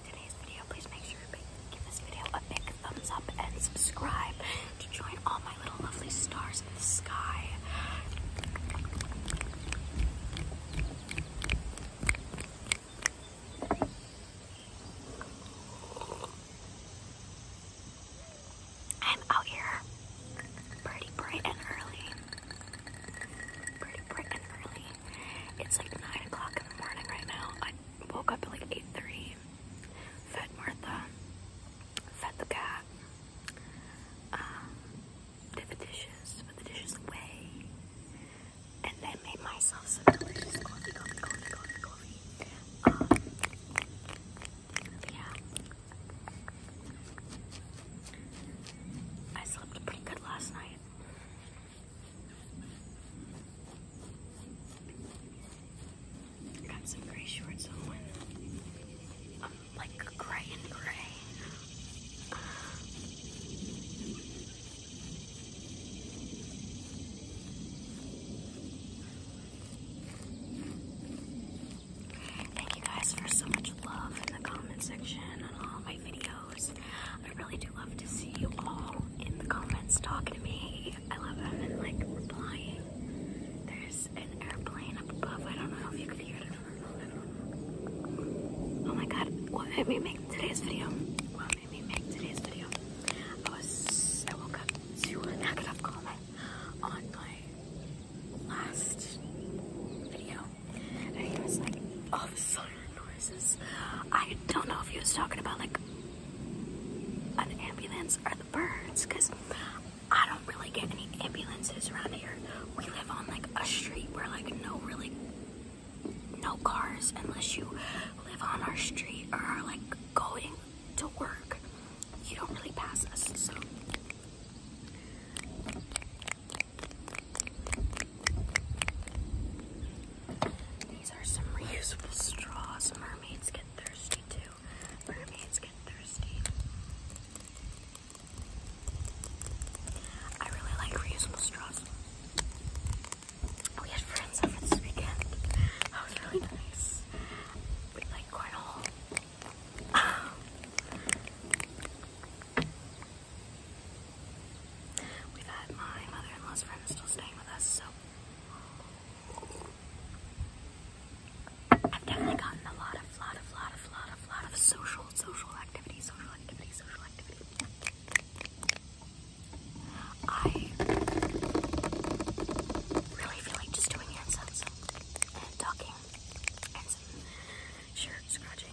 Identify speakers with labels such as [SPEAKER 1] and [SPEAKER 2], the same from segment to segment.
[SPEAKER 1] today's video, please make sure to give this video a big thumbs up and subscribe to join all my little lovely stars in the sky. I'm out here pretty bright and early. Pretty bright and early. It's like 9 o'clock in the morning right now. I woke up at like 8.30, fed Martha, fed the cat, um, did the dishes, put the dishes away, and then made myself some delicious coffee, coffee, coffee, coffee, coffee. Um, yeah. I slept pretty good last night. Got some gray shorts on. Um, like gray and gray. Thank you guys for so much love in the comment section on all my videos. I really do love to see you all in the comments talking to me. I love them and like replying. There's an airplane up above. I don't know if you can hear it. Oh my god, what made me make today's video? What made me make today's video? I was I woke up to a negative comment on my last video. And he was like, "Oh, of a noises. I don't know if he was talking about like an ambulance or the birds, because I don't really get any ambulances around here. We live on like a street where like no really no cars unless you live on our street or are like going to work. You don't really pass us, so these are some reusable straws. Mermaids get thirsty too. Mermaids get thirsty. I really like reusable straws. We had friends over this weekend. That was really nice. We like quite a we had my mother-in-law's friend still staying with us, so I've definitely gotten a lot of, lot of, lot of, lot of, lot of social, social activity, social activity, social activity. I really feel like just doing hand sounds and talking and some shirt scratching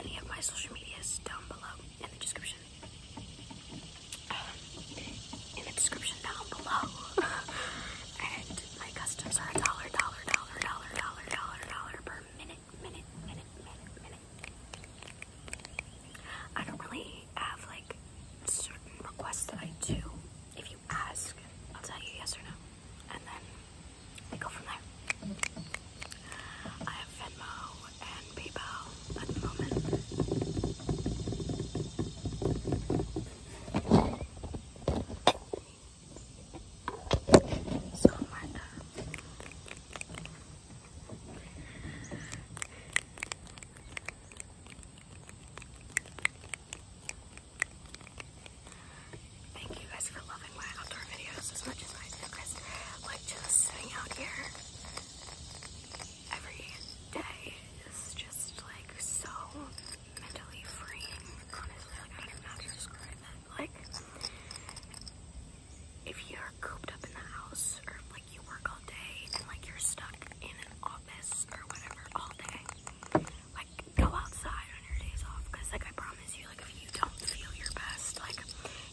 [SPEAKER 1] any of my social medias down below in the description. Um, in the description down below. and my customs are a dollar, dollar, dollar, dollar, dollar, dollar, dollar per minute, minute, minute, minute, minute. I don't really have like certain requests that I do. If you ask, I'll tell you yes or no and then we go from there. I have Venmo and PayPal at the moment. So Martha. Thank you guys for loving my outdoor videos as much as I do, guys. Like just sitting out here every day is just like so mentally freeing. Honestly, like I don't even know how to describe it. Like if you're cooped up in the house or like you work all day and like you're stuck in an office or whatever all day, like go outside on your days off because like I promise you like if you don't feel your best like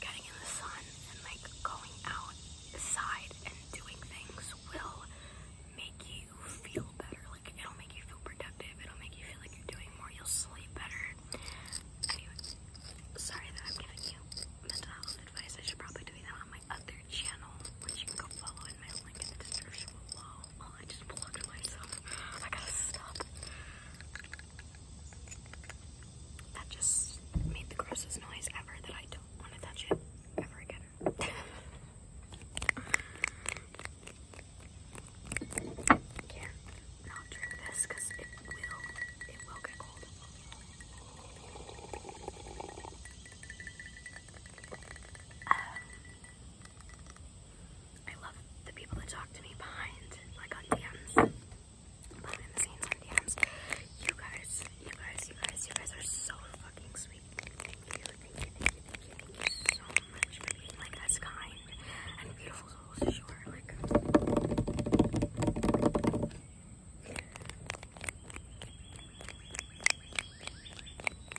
[SPEAKER 1] getting in the sun and like going outside and doing things will make you feel better like it'll make you feel productive it'll make you feel like you're doing more you'll sleep better sorry that I'm giving you mental health advice I should probably do that on my other channel which you can go follow in my link in the description below Oh, I just plugged myself. I gotta stop. That just made the grossest noise ever that I don't want to touch it ever again. can't not drink this because it will, it will get cold. Um, I love the people that talk to me behind, like on DMs, behind the scenes on DMs. You guys, you guys, you guys, you guys are so fucking sweet. Thank you, thank you, thank you, thank you, thank you so much for being like as kind and beautiful souls as you are. Like,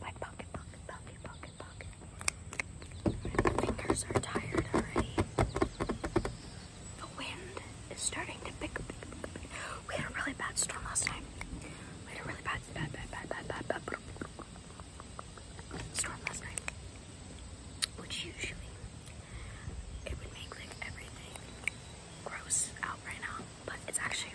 [SPEAKER 1] My pocket, pocket, pocket, pocket, pocket. fingers are tired already. The wind is starting to pick up. We had a really bad storm last time. We had a really bad, bad, bad, bad, bad, bad storm last night. Which usually it would make like everything gross out right now, but it's actually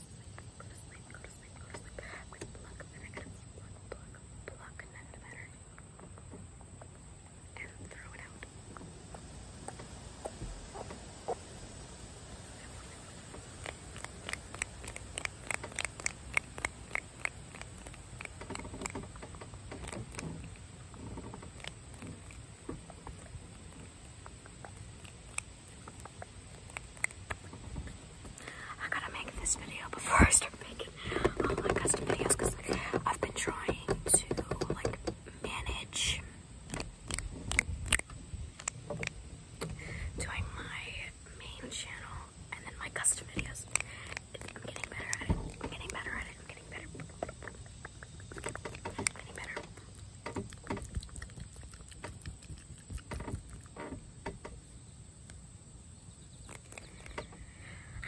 [SPEAKER 1] to sleep, go to sleep, go to sleep, go to sleep. We pluck the negatives, pluck, pluck, pluck negative energy. And throw it out. Good. I gotta make this video before I start making all my custom videos because I've been trying to like manage doing my main channel and then my custom videos. I'm getting better at it. I'm getting better at it. I'm getting better. getting better. I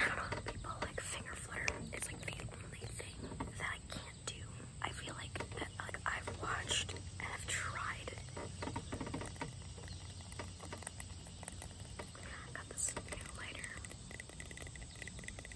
[SPEAKER 1] don't know people like finger flutter. It's like the only thing that I can't do. I feel like that like I've watched and I've tried. Got this lighter.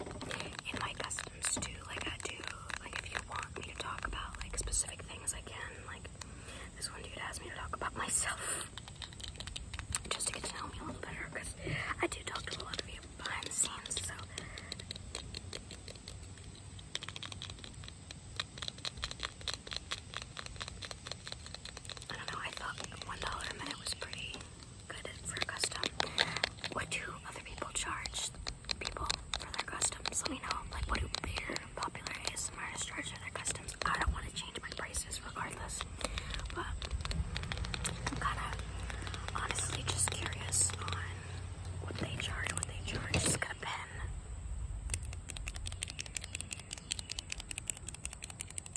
[SPEAKER 1] in my customs too. Like I do, like if you want me to talk about like specific things, I can. Like this one dude asked me to talk about myself just to get to know me a little better because I do talk to a lot of you behind the scenes. So. I don't know, I thought $1 a minute was pretty good for custom. What do other people charge people for their customs? Let me know. Like, what do bigger popular ASMRs charge for their customs? I don't want to change my prices regardless, but I'm kind of honestly just curious on what they charge, what they charge. Just a pen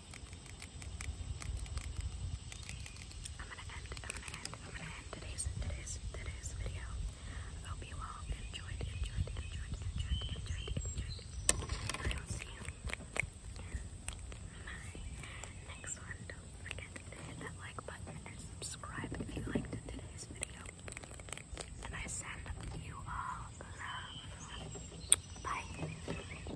[SPEAKER 1] I'm gonna end, I'm gonna end, I'm gonna end today's today's today's video. I hope you all enjoyed, enjoyed, enjoyed, enjoyed, enjoyed, enjoyed. I will see you in my next one. Don't forget to hit that like button and subscribe if you liked today's video. And I send you all love. Bye.